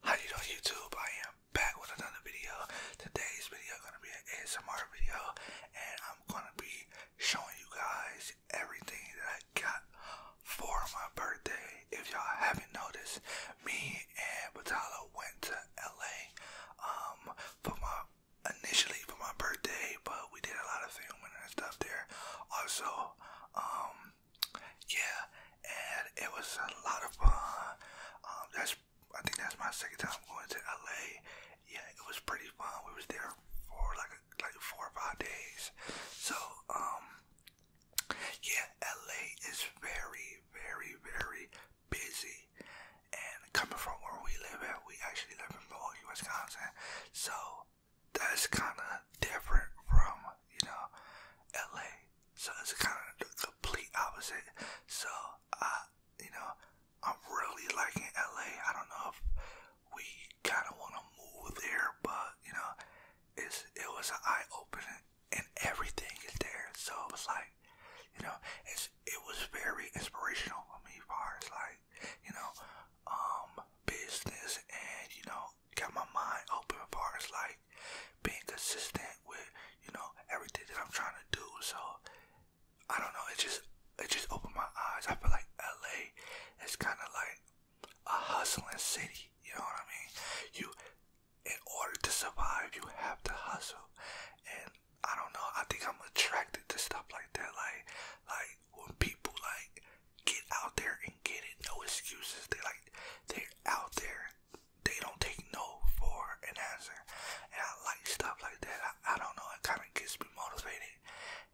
How you do YouTube? I am back with another video. Today's video is gonna be an ASMR video and I'm gonna be showing you guys everything that I got for my birthday. If y'all haven't noticed, me and Vitala went to LA um for my initially for my birthday, but we did a lot of filming and stuff there. Also, um yeah, and it was a lot of fun. Um, that's I think that's my second time going to LA. Yeah, it was pretty fun. We was there for like like four or five days. So, um yeah, LA is very, very, very busy. And coming from where we live at, we actually live in Milwaukee, Wisconsin. So that's kind of different from, you know, LA. So it's kind of the complete opposite. So I, you know, I'm really liking LA. I don't know if we kind of want to move there, but you know, it's it was an eye opening and everything is there. So it was like, you know, it's, it was very inspirational for me as far like, you know, um, business and, you know, got my mind open as far like being consistent with, you know, everything that I'm trying to do. So I don't know, it just, it just opened my eyes. I feel like LA is kind of like a hustling city. You know what I mean? You, in order to survive, you have to hustle. And I don't know, I think I'm attracted to stuff like that. Like, like when people like get out there and get it, no excuses. They like, they're out there. They don't take no for an answer. And I like stuff like that. I, I don't know, it kind of gets me motivated.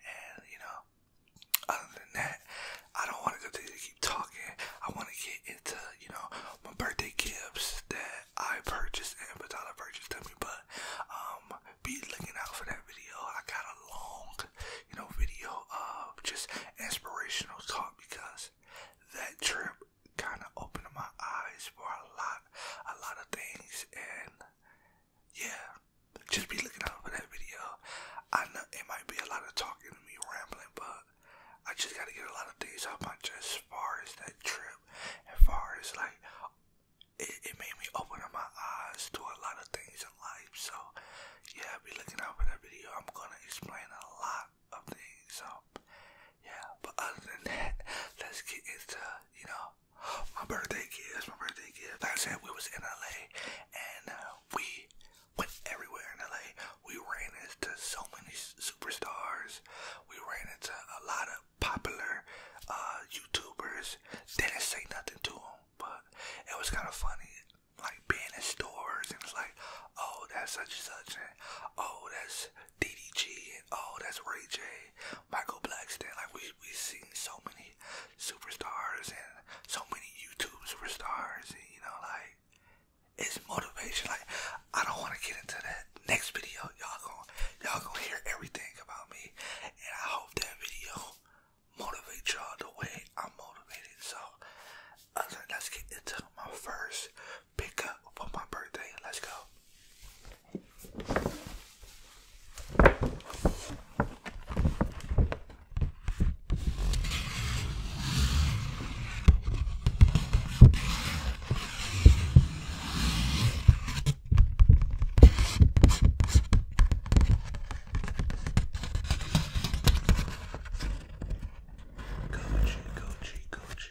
And, you know, other than that, I don't want to go to continue talking. I want to get into, you know, my birthday gifts that I purchased and Patala purchased to me. But um, be looking out for that video. I got a long, you know, video of just inspirational talk because that trip kind of opened my eyes for a lot, a lot of things, and yeah, just be looking out for that video. I know it might be a lot of talking to me rambling, but I just gotta get a lot of things off Just as far as that trip, as far as like it, made me open up my eyes to a lot of things in life. So yeah, be looking out for that video. I'm gonna explain a lot of things. So yeah, but other than that, let's get into you know my birthday gifts. My birthday gifts. Like I said, we was in LA and uh, we went everywhere in LA. We ran into so many superstars. We ran into a lot of popular uh, YouTubers. Didn't say nothing to them, but it was kind of funny. Like being in stores and it's like, oh, that's such and such, and oh, that's DDG, and oh, that's Ray J, Michael Blackston. Like we we seen so many superstars and so many YouTube superstars, and you know, like it's motivation. Like I don't want to get into that next video. Y'all gonna y'all gonna hear everything about me, and I hope that video motivates y'all the way I'm motivated. So uh, let's get into my first pickup for my birthday. Let's go. Gucci, Gucci, Gucci, Gucci.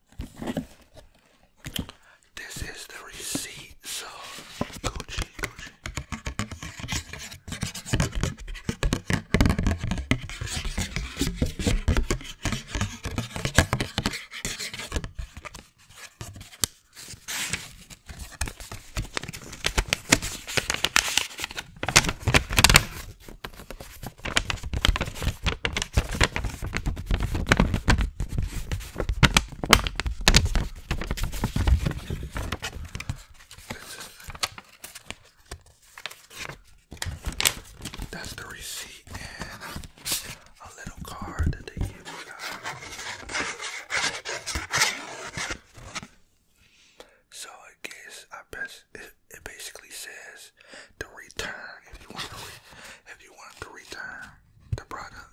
This is the receipt, so Gucci, Gucci. That's the receipt and a little card that they give you So I guess I best it basically says to return if you want to re if you want to return the product.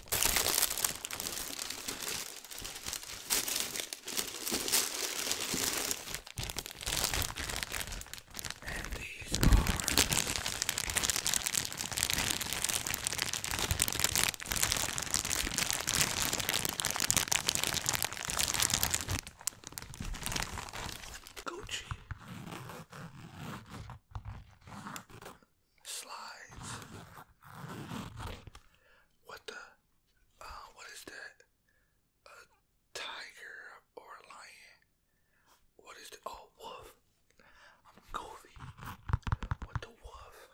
And these are Gucci slides. What the? Uh, what is that? A tiger or a lion? What is the? Oh, wolf. I'm goofy. What the wolf?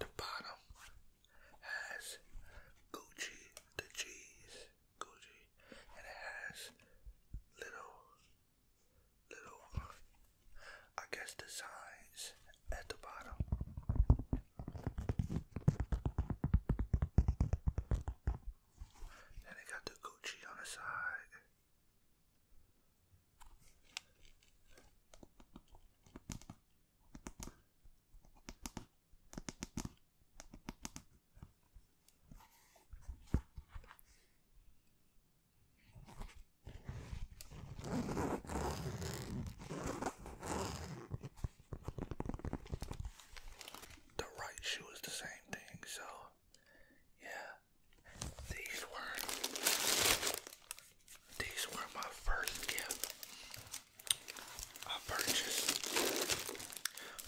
The bottom has Gucci the cheese, Gucci, and it has little, little, I guess, designs at the bottom. Then they got the Gucci on the side. The right shoe is the same thing, so yeah, these were these were my first gift I purchased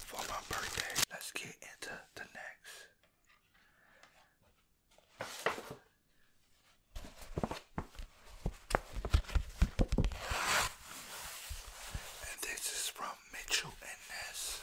for my birthday. Let's get into the next. And this is from Mitchell and Ness.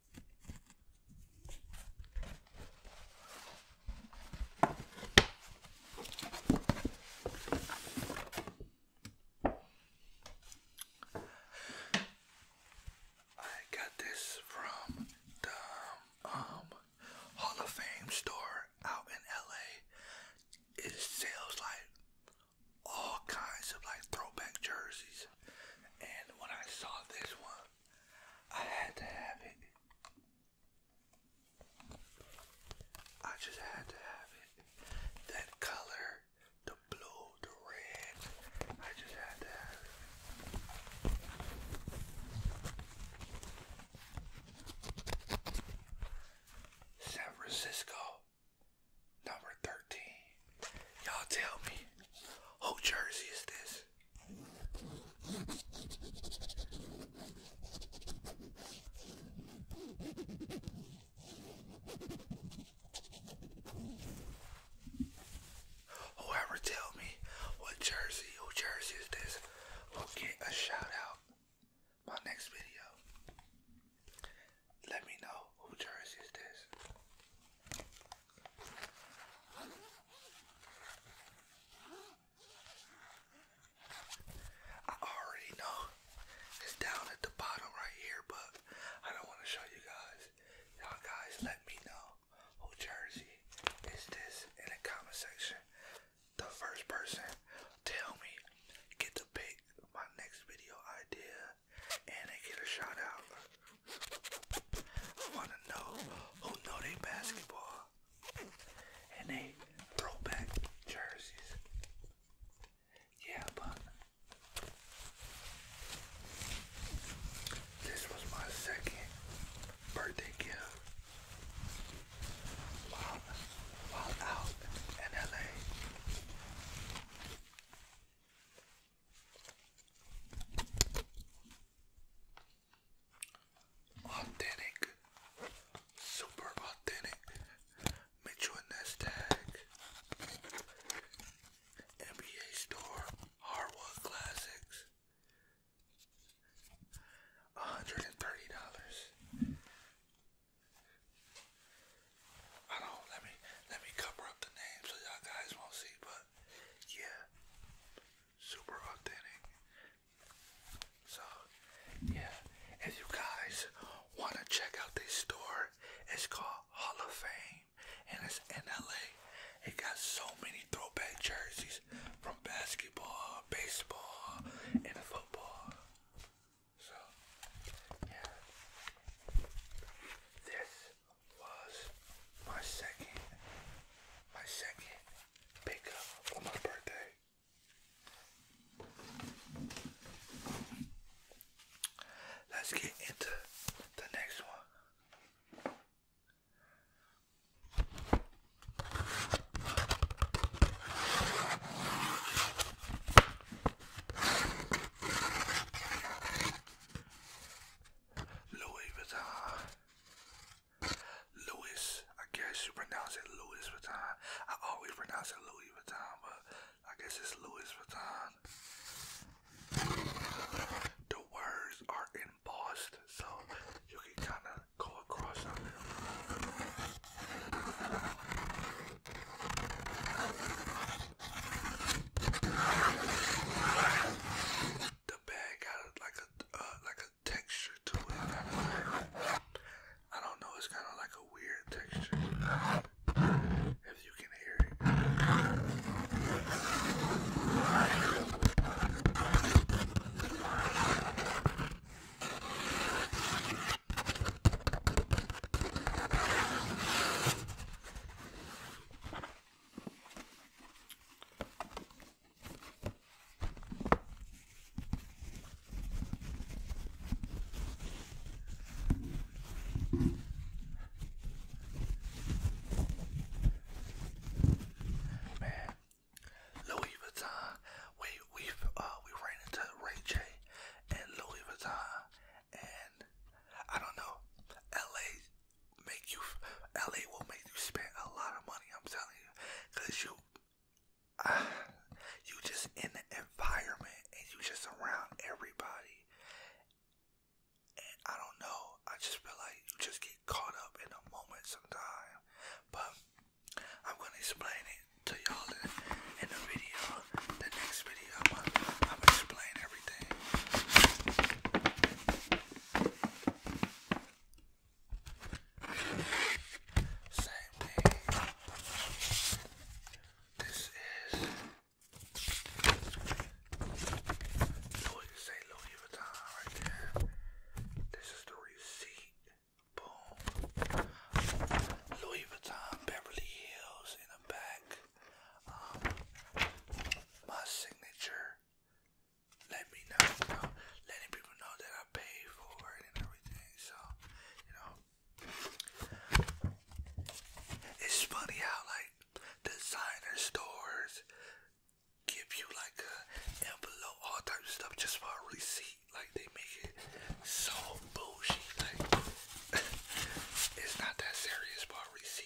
I got this from the um, Hall of Fame store out in LA. It sells like all kinds of like throwback jerseys. And when I saw this one, I had to have it. I just had to have it. That color, the blue, the red, I just had to have it. San Francisco, Number 13. Y'all tell me, who jersey is this? Whoever tell me what jersey, who jersey is this, will get a shout out my next video. Let me know who jersey is this. I already know it's down at the bottom right here, but I don't want to show you guys. Y'all guys, let me know who jersey is this in the comment section. The first person tell me get to pick my next video idea and they get a shout out. want to know who know they basketball and they throwback jerseys. Yeah, but this was my second birthday gift while, while out in LA. Authentic, super authentic. Make sure nest tag. NBA store, hardwood classics. $130. I don't let me let me cover up the name so y'all guys won't see, but yeah. Super authentic. So yeah, if you guys wanna check out this store, it's called Hall of Fame and it's in LA. It got so many throwback jerseys from basketball, baseball, and football. So yeah. This was my second, my second pickup for my birthday. Let's get into the next one. Louis Vuitton. Louis, I guess you pronounce it Louis Vuitton. I always pronounce it Louis Vuitton, but I guess it's Louis Vuitton. The words are embossed, so you can kind of go across them. The bag got a, like a uh, like a texture to it. I don't know. It's kind of like a weird texture. If you can hear it. Man, Louis Vuitton. We we uh, we ran into Ray J and Louis Vuitton and I don't know. LA make you. LA will make you spend a lot of money. I'm telling you, cause you, uh, you just in the environment and you just around everybody. And I don't know. I just feel like you just get caught up in a moment sometimes. But I'm gonna explain it to y'all in, in the video. The next video, I'm gonna, explain it same thing. This is Louis Vuitton right there. This is the receipt. Boom. Louis Vuitton Beverly Hills in the back um, my signature. Let me know, letting people know that I paid for and everything. So, you know, it's funny how like designer stores give you like a envelope, all types of stuff just for a receipt. Like they make it so bougie. Like it's not that serious, but receipt.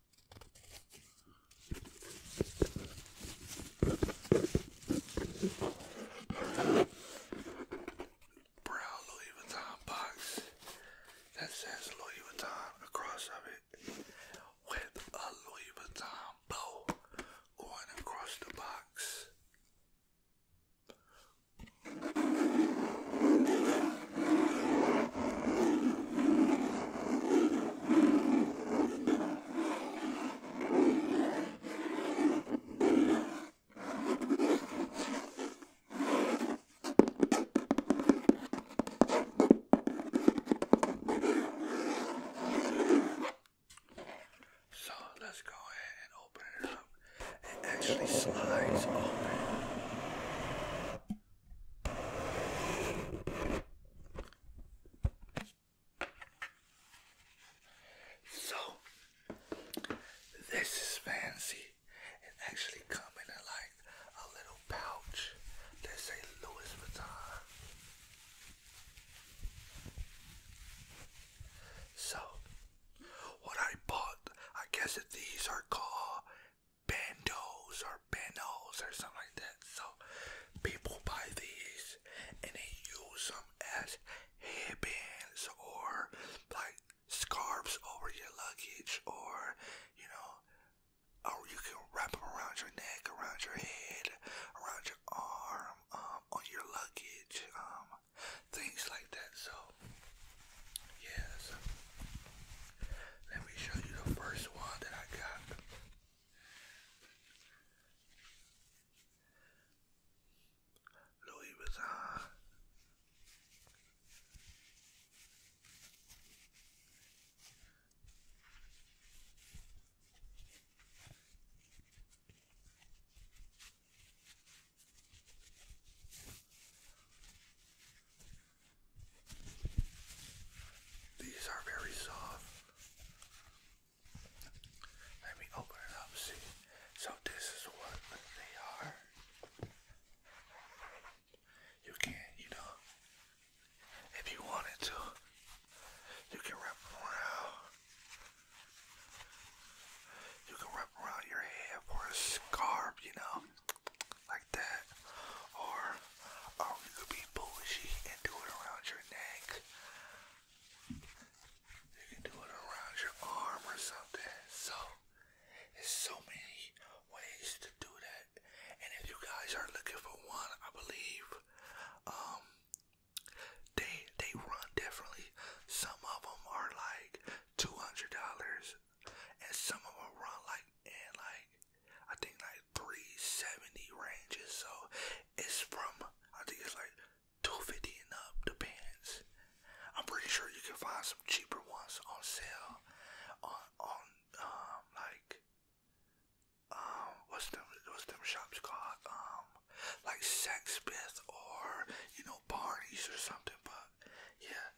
Brown Louis Vuitton box that says Louis Vuitton across of it with a Louis Vuitton bow going across the box. So let's go ahead and open it up. It actually slides open. So, this is fancy. It actually comes in a, like a little pouch that say Louis Vuitton. So, what I bought, I guess that these are called bandos or banos or something like that. So people buy these and they use them as headbands or like scarves over your luggage or you know or you can wrap them around your neck, around your head, around your arm, um, on your luggage, um, things like that. So Yes. Let me show you the first one that I got. Louis Vuitton. These are very soft. Let me open it up, see. So this is what they are. You can, you know, if you wanted to, you can wrap around. You can wrap around your head for a scarf, you know like that, or you could be bougie and do it around your neck. You can do it around your arm or something. So there's so many ways to do that, and if you guys are looking for one, I believe um they they run differently. Some of them are like two hundred dollars and some of them run like in like I think like 370 ranges. So it's from I think it's like 250 and up, depends. I'm pretty sure you can find some cheaper ones on sale on on um, like um what's them what's them shops called? Um like Sexsmith or you know Barney's or something, but yeah,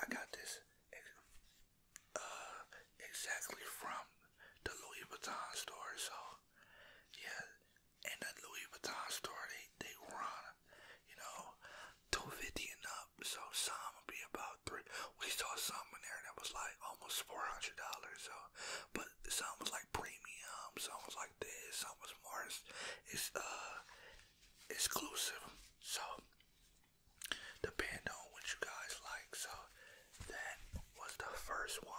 I got this uh, exactly from the Louis Vuitton store. So, yeah, and the Louis Vuitton store, they, they run, you know, 250 and up. So, some would be about three. We saw some in there that was like almost $400. So, but some was like premium, some was like this, some was more. it's uh, exclusive. So, depend on what you guys like. So that was the first one.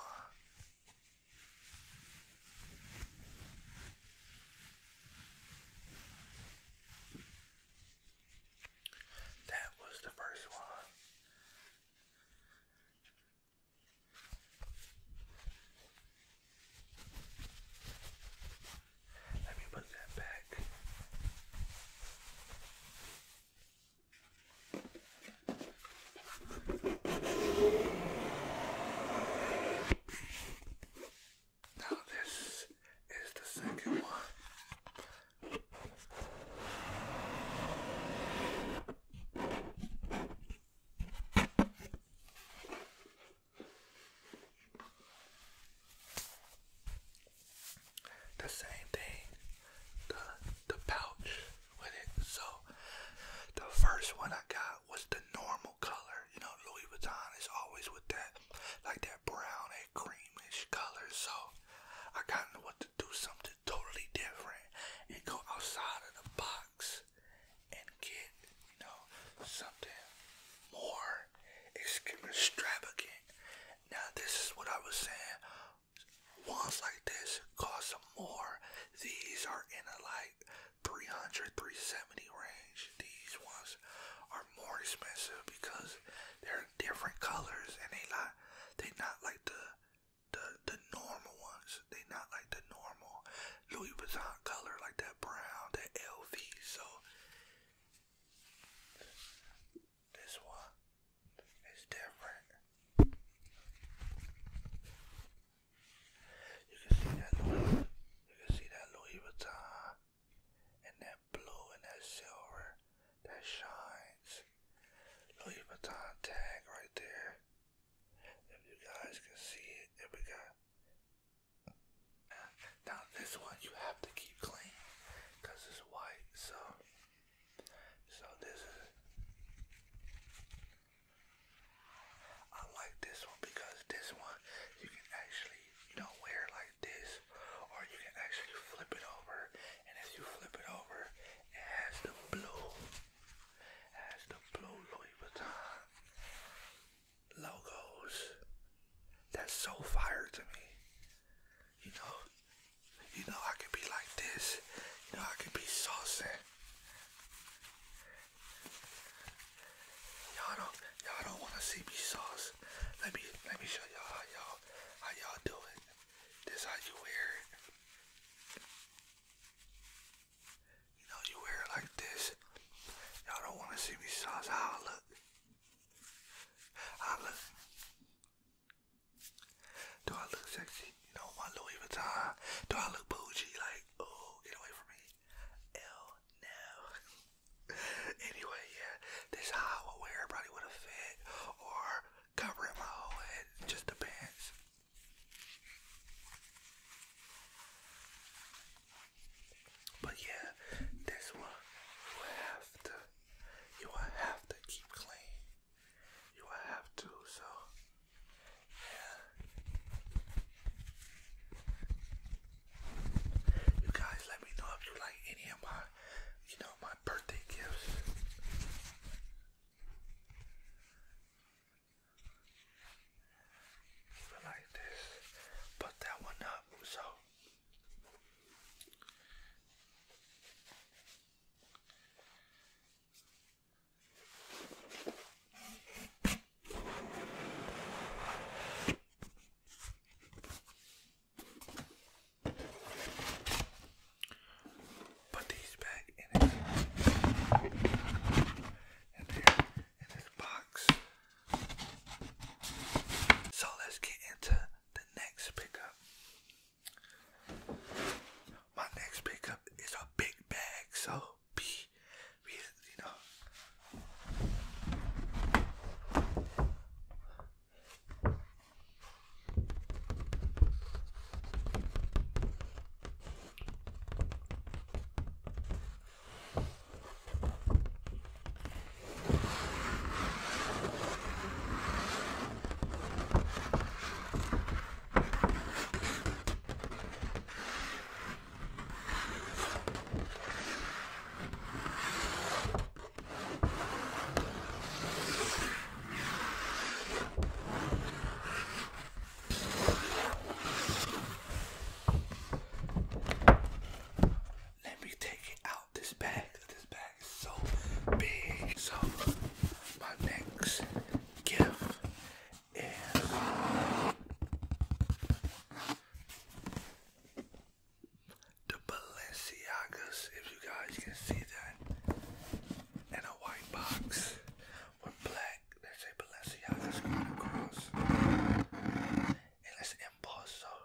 That was the first one. Let me put that back. Now, this is the second one. The same thing, the the pouch with it. So the first one I got was the normal color. You know, Louis Vuitton is always with that, like that brown and creamish color. So I kind of want to do something totally different and go outside of the box and get, you know, something more extravagant now this is what I was saying. Ones like this cost some more. These are in a like 300, 370 range. These ones are more expensive because they're different colors and they not they not like the the the normal ones. They not like the normal Louis Vuitton color like that brown, that LV. So this one is different. You can see that Louis, you can see that Louis Vuitton and that blue and that silver that shines. Louis Vuitton tag right there. If you guys can see it, if we got now this one you have to keep clean because it's white. So, so this is. I like this one because this one you can actually you know wear like this, or you can actually flip it over. And as you flip it over, it has the blue, has the blue Louis Vuitton logos. That's so fire to me. You know, you know I can be like this. You know I can be saucing. Y'all don't y'all don't wanna see me sauce. Let me let me show y'all how y'all how y'all do it. This how you wear it. You know you wear it like this. Y'all don't wanna see me sauce how I look. I look. Do I look sexy? You know, my Louis Vuitton. Do I look bougie? Like, oh, get away from me. Hell no. anyway, yeah, this I would wear probably with a fit or covering my whole head. just depends. But yeah, this one you have to you will have to keep clean. You will have to, so yeah. You guys let me know if you like any of my you know my birthday gifts. Like this, put that one up so Put these back in, it. in, there, in this box. So let's get into the next pickup. My next pickup is a big bag, so be, you know. Let me take it out this bag. This bag is so big. So my next gift is the Balenciagas. If you guys can see that, and a white box with black. Let's Balenciagas going across, and let's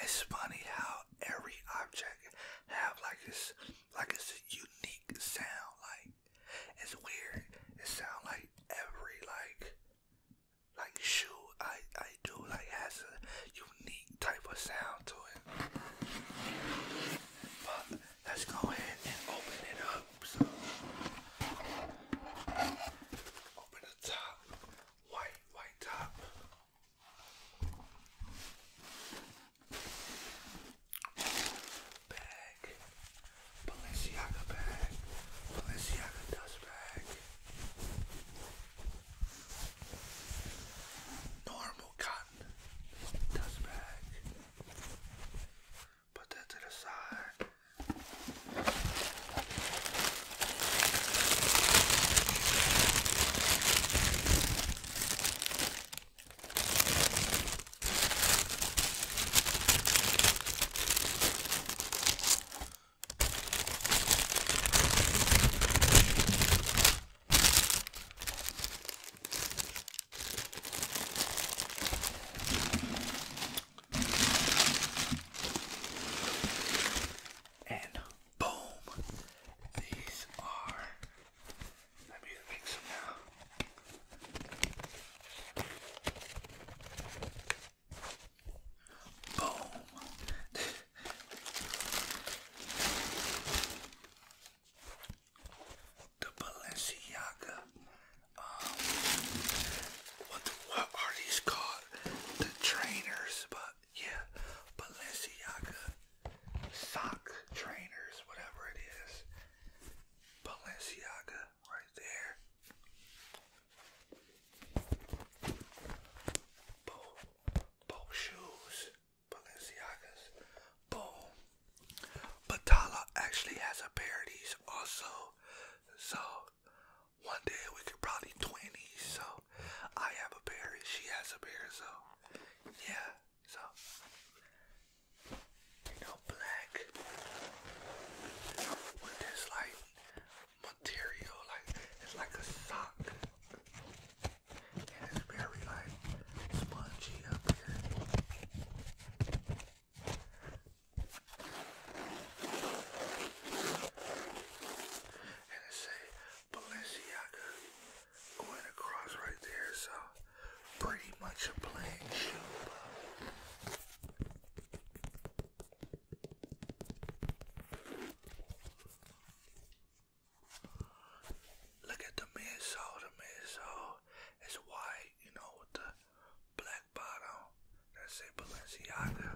It's funny how every object have like this, like it's a unique sound. Like it's weird. It sounds like every like, like shoe I I do like has a unique type of sound to it. But let's go ahead and open it up. open the top, white, white top. Bag, Balenciaga bag, Balenciaga dust bag. Normal cotton dust bag. Put that to the side. And boom, these are. Let me mix them now. Boom. the Balenciaga. Um, what what are these called? The trainers, but yeah, Balenciaga sock trainers, whatever it is. Balenciaga, right there. Both, both shoes. Balenciagas. Boom. Batala actually has a pair of these also. So one day we could probably twin So I have a pair she has a pair. So yeah. So you know black with this like material like it's like a sock and it's very like spongy up here. And it say Balenciaga going across right there, so pretty much a plain shoe. Look at the midsole. The midsole is white, you know, with the black bottom. That's it, Balenciaga.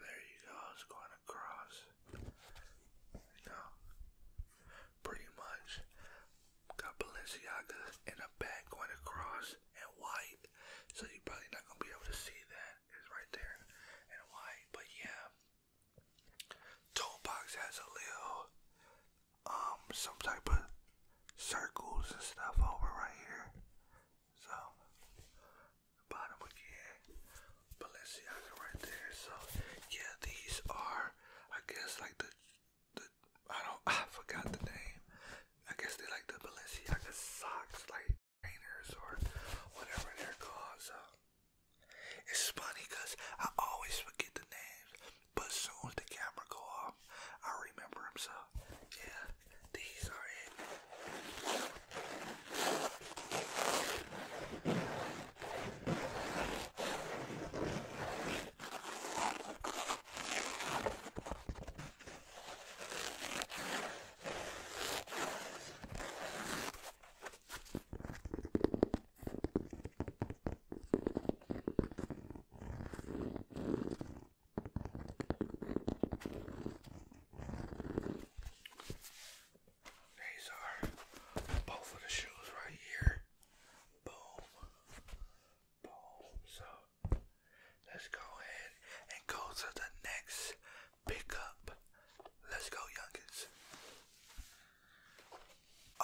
There you go, it's going across. You know, pretty much got Balenciaga in the back going across and white. So you're probably not gonna be able to see that. It's right there in white. But yeah. Toolbox has a little um some type of circles and stuff over right here. So bottom again. Balenciaga right there. So yeah, these are I guess like the I don't I forgot the name. I guess they like the Balenciaga socks, like trainers or whatever they're called. So it's funny because I always forget the names, but soon as the camera go off, I remember them. So yeah, these are it. These are both of the shoes right here. Boom. Boom. So let's go ahead and go to the next pickup. Let's go, youngins.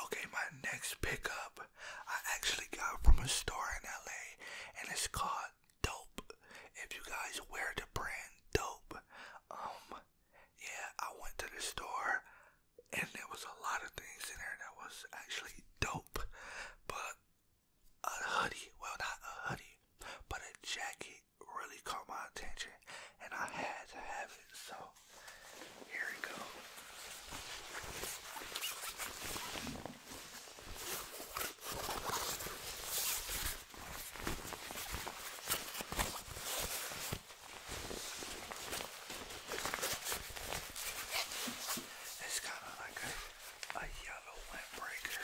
Okay, my next pickup I actually got from a store in LA and it's called Dope. If you guys wear the brand Dope, um, yeah, I went to the store and there was a lot of things in there that was actually dope. But a hoodie, well not a hoodie, but a jacket really caught my attention, and I had to have it. So here we go. It's kind of like a, a yellow windbreaker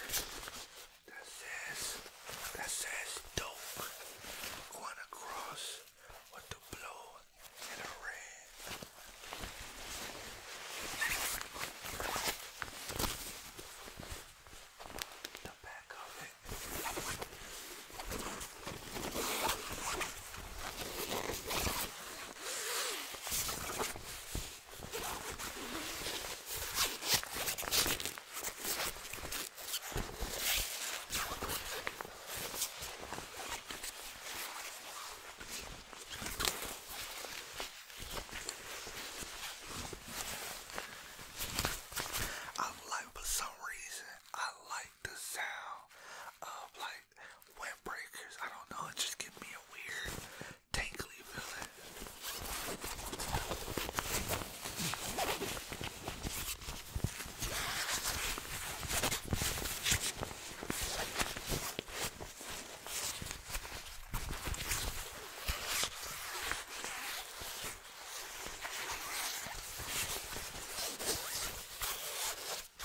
that says, that says dope going across with the blue and the red. The back of it. I like for some reason I like the sound of like like windbreakers. I don't know. It just gives me a weird tingly feeling. But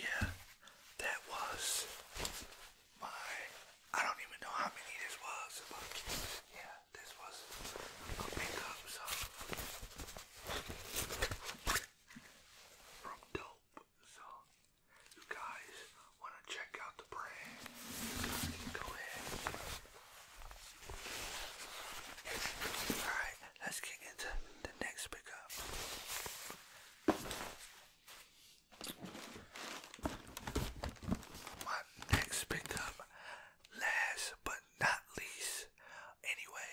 yeah, that was my I don't even know how many this was, but yeah, this was a pickup so from dope. So you guys want to check out the brand, go ahead. Alright, let's get into the next pickup. My next pickup, last but not least, anyway,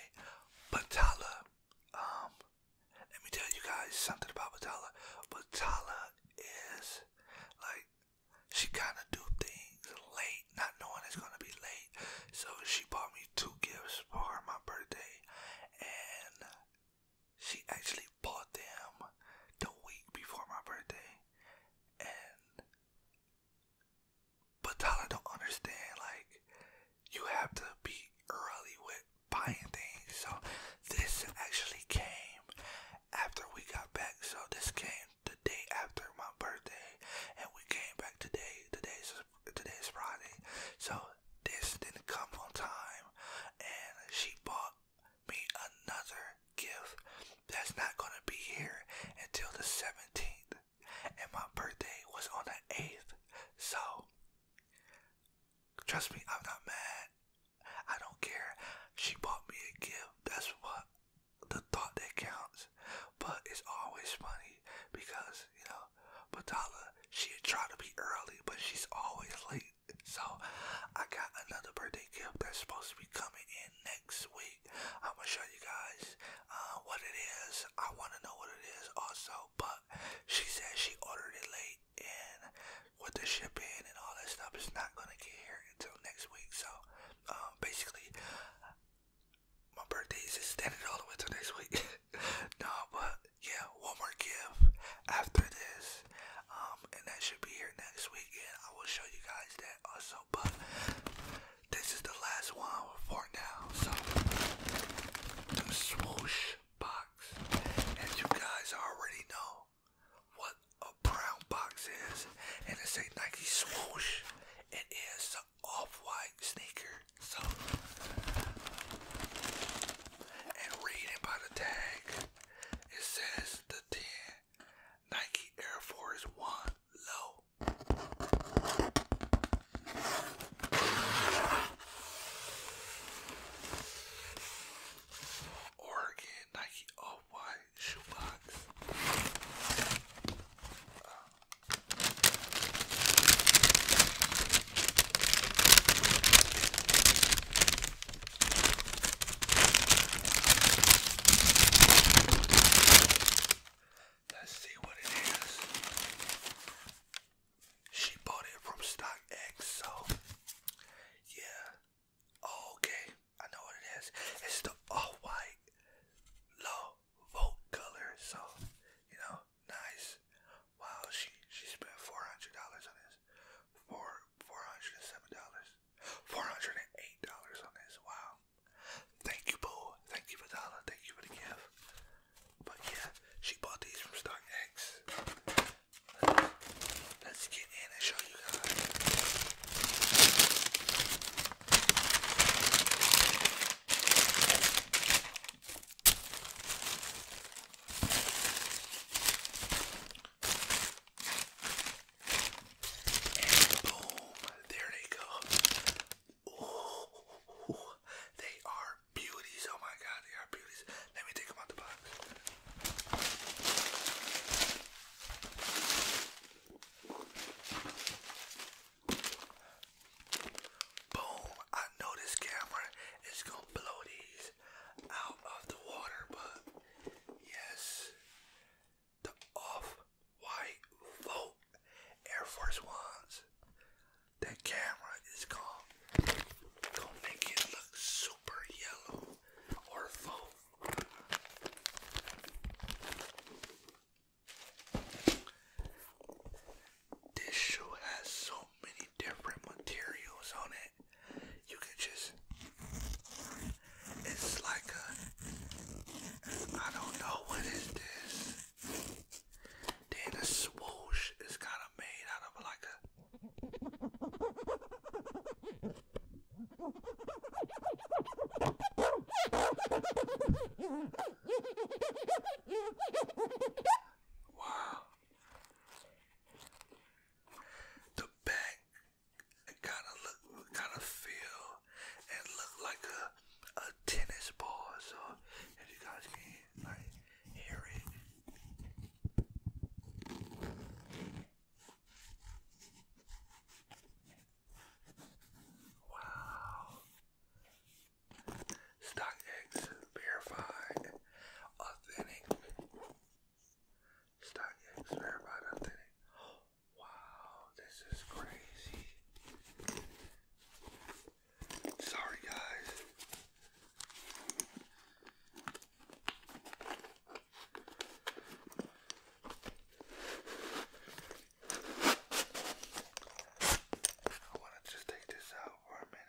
Batala um, let me tell you guys something about Vitala. Vitala is like she kind of do things late, not knowing it's gonna be late. So she bought me two gifts for my birthday, and she actually bought them the week before my birthday. And but Tyler don't understand. Like you have to be early with buying things. So this actually came after we got back. So this came the day after my birthday, and we came back today. Today's today's Friday, so this didn't come on time, and she bought me another gift that's not gonna be here until the 17th, and my birthday was on the 8th. So Trust me, I'm not mad. I don't care. She bought me a gift. That's what the thought that counts. But it's always funny because, you know, Batala, she tried to be early, but she's always late. So I got another birthday gift that's supposed to be coming in next week. I'm gonna show you guys uh, what it is. I wanna know what it is also, but she said she ordered it late and with the shipping and all that stuff, it's not gonna get here until next week. So, um, basically, my birthday is extended all the way till next week. no, but yeah, one more gift after this, um, and that should be here next week. And I will show you guys that also. But this is the last one for now. So, the box. As you guys already know what a brown box is, and it's a Nike swoosh. It is an off-white sneaker. So, and reading by the tag, it says the 10 Nike Air Force One Low. Oregon Nike All White Shoebox. Uh, Let's see what it is. She bought it from StockX, so yeah. okay, I know what it is. It's the all white low vote color, so you know, nice. Wow, she she spent four hundred dollars on this. Four four hundred and seven dollars. Four hundred and eight dollars on this. Wow. Thank you, boo. Thank you for Thank you for But yeah, she bought these from StockX. Let's get in and show you guys. And boom, there they go. Ooh, they are beauties. Oh my god, they are beauties. Let me take them out the box. Boom! I know this camera is gonna blow these out of the water, but yes, the off-white vote Air Force Ones that camera is called Gonna Make It Look Super Yellow or Foam. This shoe has so many different materials on it. You can just, it's like a, I don't know what is this. Then the swoosh is kind of made out of like a Wow. The back it kind of look, kind of feel and look like a a tennis ball. So if you guys can I hear it. Wow. StockX verified authentic. StockX verified authentic. Wow, this is crazy. Sorry guys. I want to just take this out for a minute.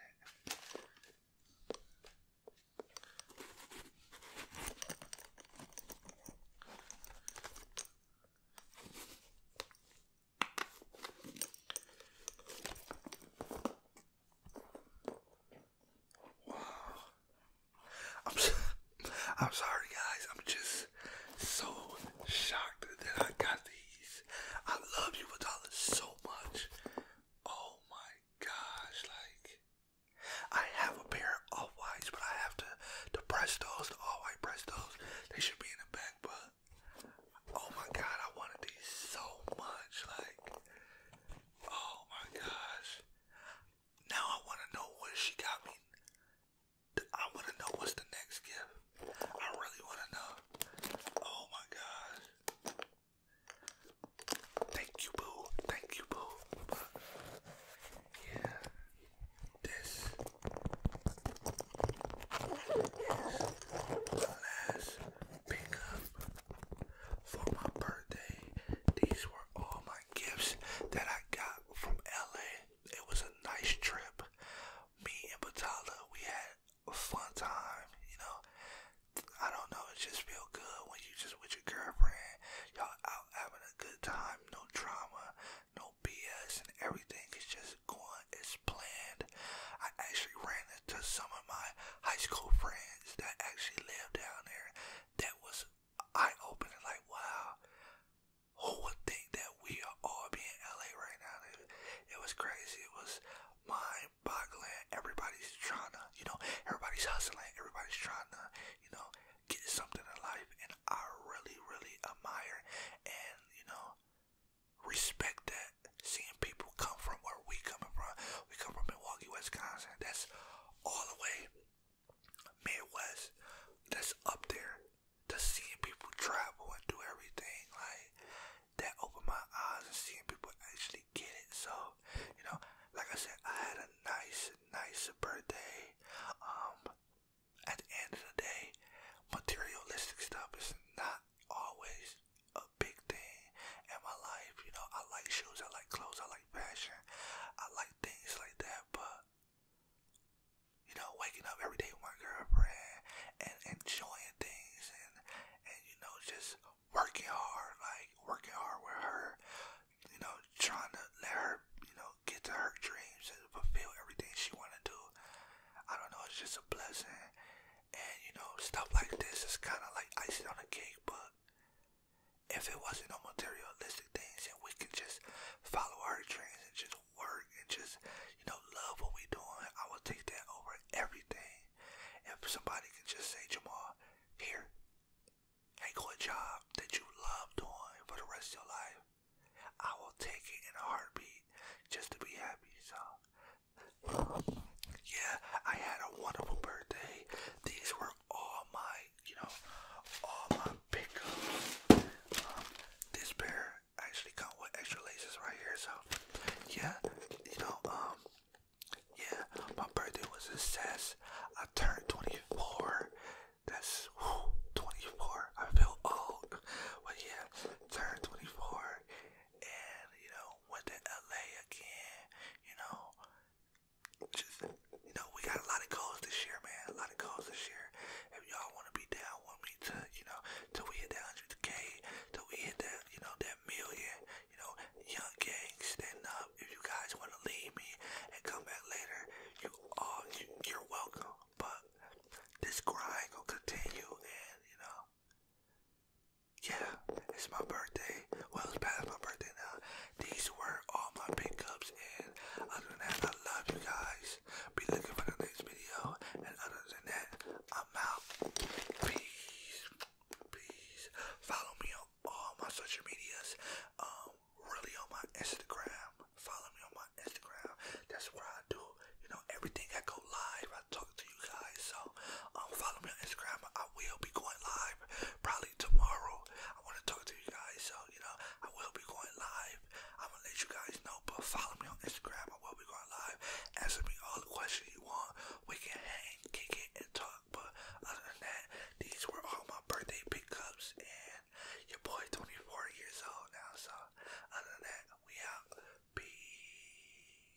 Wow. I'm, I'm sorry, guys. I'm just so shocked that I got these. I love you, Vidala, so much. Oh my gosh. Like, I have a pair of off whites, but I have to, to press those, all white press those. They should be in the back, but oh my god, I wanted these so much. Like, oh my gosh. Now I want to know what she got me. I want to know what's the next gift. I really want to know. Oh my gosh. Thank you, boo. Thank you, boo. yeah. This is last for my birthday. These were all my gifts that I got from LA. It was a nice trip. Me and Batala, we had a fun time, you know. I don't know, it just feel good when you just with your girlfriend. Y'all out having a good time, no drama, no BS and everything is just going as planned. I actually ran into some of my high school friends that actually lived down there. That was eye opening, like, wow, who would think that we are all being LA right now? It, it was crazy, it was mind boggling. Everybody's trying to, you know, everybody's hustling, everybody's trying to, you know, get something in life, and I really, really admire and, you know, respect that seeing people come from where we coming from. We come from Milwaukee, Wisconsin. That's all the way Midwest. That's up there. To seeing people travel and do everything like that open my eyes and seeing people actually get it. So, you know, like I said, I had a nice, nice birthday. Um, at the end of the day, materialistic stuff is not always a big thing in my life. You know, I like shoes, I like clothes, I like fashion, I like things like that. But you know, waking up every day with my girlfriend and enjoying things and and you know just working hard, like working hard with her. You know, trying to let her, you know, get to her dreams and fulfill everything she wanted to do. I don't know. It's just a blessing, and you know, stuff like this is kind of like icing on a cake, but if it wasn't no materialistic things and we could just follow our dreams and just work and just, you know, love what we're doing, I would take that over everything. If somebody could just say, Jamal, here, take a job that you love doing for the rest of your life. I will take it in a heartbeat just to be happy. So yeah, I had a wonderful birthday. These were all my, you know, all my pickups. Um, this pair actually come with extra laces right here, so yeah, you know, um, yeah, my birthday was a success. I turned 24. That's 24. I feel old, but yeah, turned 24, and you know went to LA again. You know, just you know we got a lot of goals this year, man. A lot of goals this year. If y'all want to be down with me to you know till we hit that hundred K, till we hit that you know that million, you know young gang stand up. If you guys want to leave me and come back later, you all you, are welcome. But this grind gonna continue, and you know yeah, it's my birthday. Well, it's past my birthday now. These were all my pickups, and other than that, I love you guys. Be looking for the next video, and other than that, I'm out. Peace, peace. Follow me on all my social medias. Um, really on my Instagram. Follow me on my Instagram. That's where I do, you know, everything. I go live. I talk to you you guys. So um, follow me on Instagram. I will be going live probably tomorrow. I want to talk to you guys. So you know I will be going live. I'm gonna let you guys know. But follow me on Instagram. I will be going live. Answer me all the questions you want. We can hang, kick it, and talk. But other than that, these were all my birthday pickups and. Your boy 24 years old now, so other than that, we out. Peace.